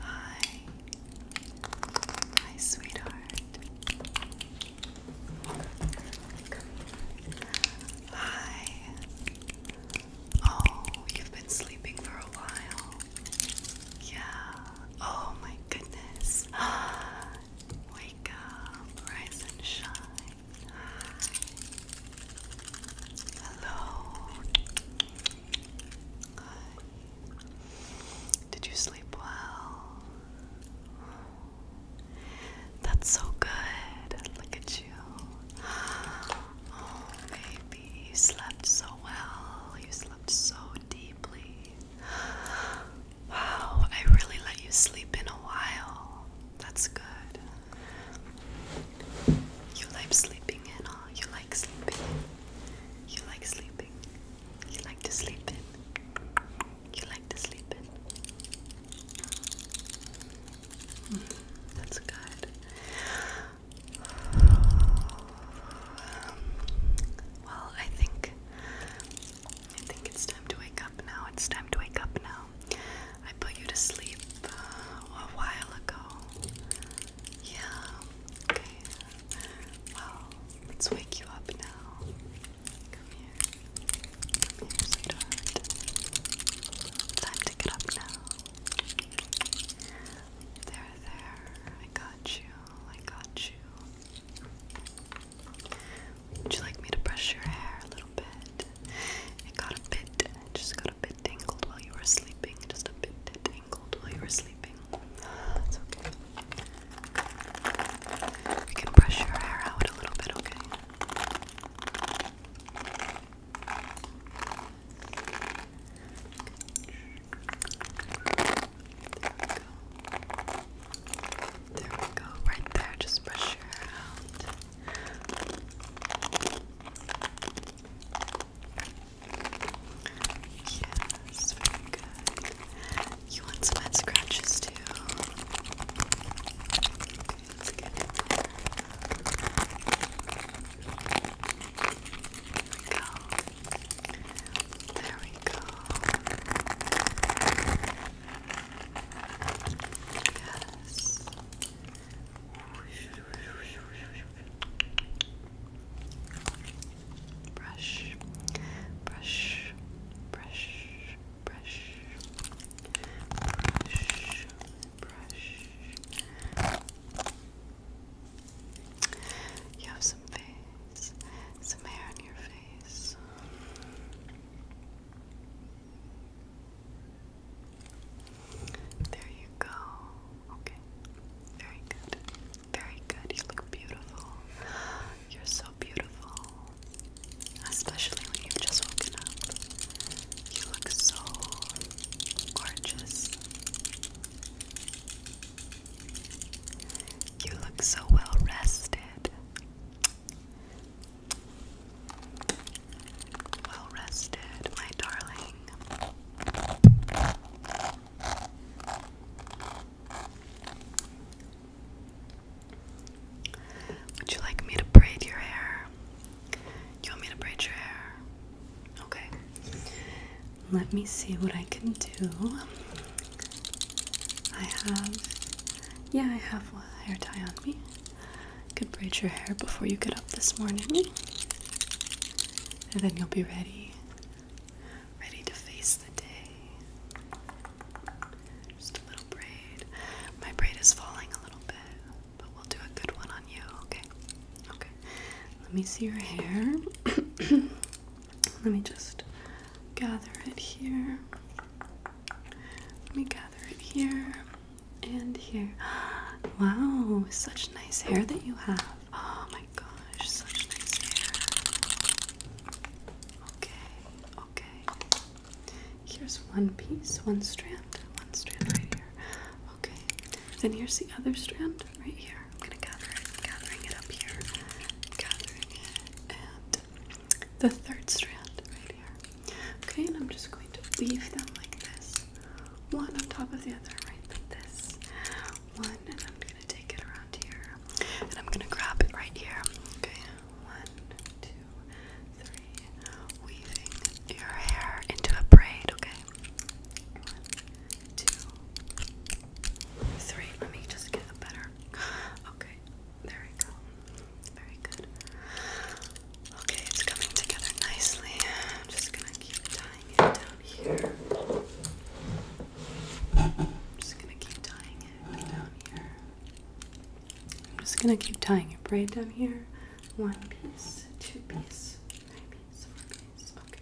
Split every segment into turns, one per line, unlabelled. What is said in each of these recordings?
Hi. Hi, sweetheart. Hi. Oh, you've been sleeping for a while. Yeah. Oh my goodness. Wake up, rise and shine. Hello. Did you sleep well? That's so good. Look at you. Oh, baby, you slept so well. You slept so deeply. Wow, I really let you sleep in a while. That's good. You like sleeping in, huh? You like sleeping You like sleeping. You like to sleep in. You like to sleep in. Mm, that's good. well, I think I think it's time to wake up now. It's time to wake up now. I put you to sleep uh, a while ago. Yeah. Okay. Well, let's wake you up now. Come here. Come here, sweetheart. Time to get up now. There, there. I got you. I got you. Would you like me to brush your hair a little bit? It got a bit, just got a bit tangled while you were sleeping. Just a bit tangled while you were sleeping. It's okay. We can brush your hair out a little bit, okay? There we go. There we go, right there. Just brush your hair out. Yes, very good. You want some head scratches too? let's get There we go. There we go. Yes. Brush, brush, brush, brush, brush, brush. You have some face, some hair on your face. There you go. Okay. Very good. Very good. You look beautiful. You're so beautiful. Especially when you've just woken up. You look so gorgeous. You look so well rested. Well rested, my darling. Would you like me to braid your hair? You want me to braid your hair? Okay. Let me see what I can do. I have yeah, I have a hair tie on me. could braid your hair before you get up this morning. And then you'll be ready. Ready to face the day. Just a little braid. My braid is falling a little bit, but we'll do a good one on you, okay? Okay. Let me see your hair. Let me just gather it here. Let me gather it here and here. Wow, such nice hair that you have. Oh my gosh, such nice hair. Okay, okay. Here's one piece, one strand, one strand right here. Okay, then here's the other strand right here. I'm gonna gather it, gathering it up here, gathering it and the third strand right here. Okay, and I'm just going to weave them like this, one on top of the other, right like this. One, and I'm gonna take it around here, and I'm gonna grab it right here. Okay, one, two, three, weaving your hair into a braid. Okay, one, two, three. Let me just get a better Okay, there we go. Very good. Okay, it's coming together nicely. I'm just gonna keep tying it down here. I'm just gonna keep tying it down here. I'm just gonna keep tying it right down here. One piece, two pieces, three piece, four piece. Okay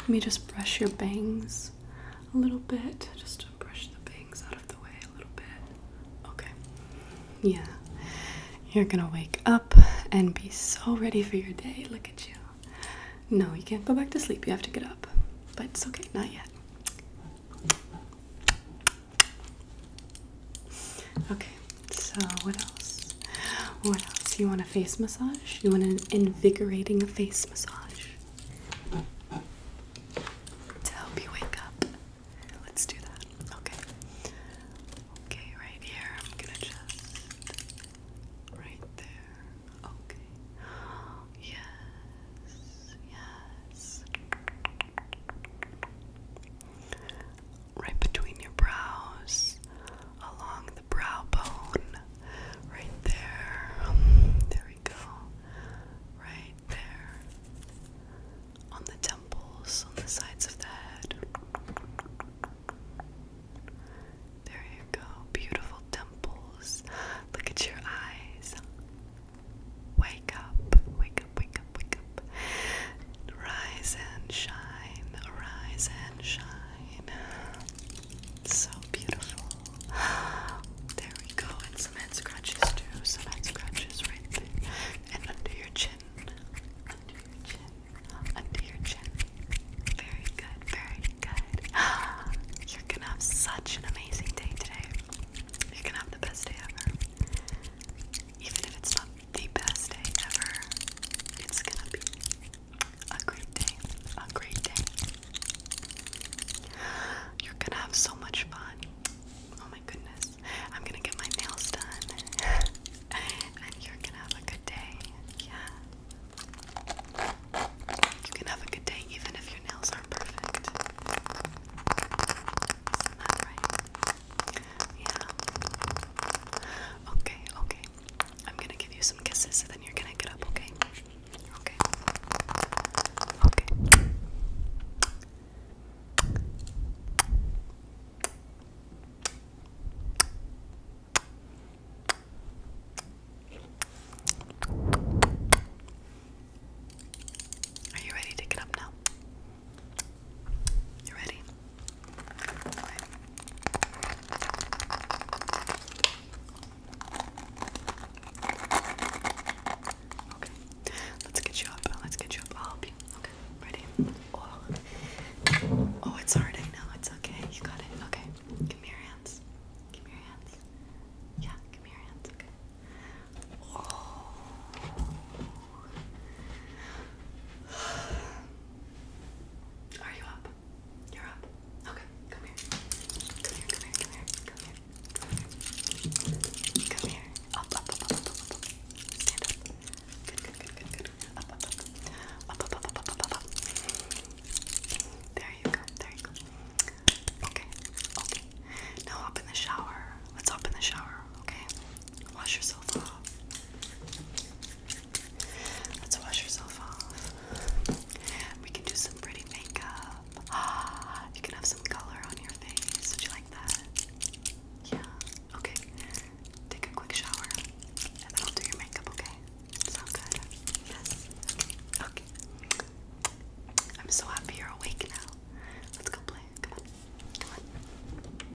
Let me just brush your bangs a little bit. Just brush the bangs out of the way a little bit. Okay. Yeah. You're gonna wake up and be so ready for your day. Look at you. No, you can't go back to sleep. You have to get up. But it's okay. Not yet. Okay, so what else? What else? You want a face massage? You want an invigorating face massage? to help you wake up. Let's do that. Okay. Okay, right here. I'm gonna just right there. Okay. Yes. Yes. Right between your brows along the brow bone, right there. There we go. Right there. On the temples, on the sides of the head. There you go. Beautiful temples. Look at your eyes. Wake up, wake up, wake up, wake up. Rise and shine, rise and shine. So beautiful. There we go. And some head scratches too. Some head scratches right there. And under your chin. Under your chin. Under your chin. Very good. Very good. You're gonna have such an amazing day today. You're gonna have the best day ever. Even if it's not the best day ever, it's gonna be a great day, a great day. You're gonna have so much fun. Oh my goodness. I'm gonna get my nails done. and you're gonna have a good day. Yeah. You can have a good day even if your nails aren't perfect. is right? Yeah. Okay, okay, I'm gonna give you some kisses and then you're gonna get up, okay? Okay. Okay. Are you ready to get up now? You ready? Okay, let's get you up. Let's get you up. I'll help you. Okay, ready? Oh, oh it's hard. I know. It's okay. You got it. Okay, give me your hands. Give me your hands. Yeah, give me your hands. Okay. Are you up? You're up. Okay, come here. Come here, come here, come here, come here. Come here. Up, up, up, up, up, up, up. Stand up. Good, good, good, good, good. Up, up, up. Up, up, up, up, up, up, up. There you go, there you go. Okay, okay. Now up in the shower. Let's hop in the shower, okay? Wash yourself off. Let's wash yourself off. We can do some pretty makeup. you can have some color on your face. Would you like that? Yeah. Okay. Take a quick shower, and then I'll do your makeup. Okay? Sound good? Yes. Okay. I'm so happy you're awake now. Let's go play. Come on.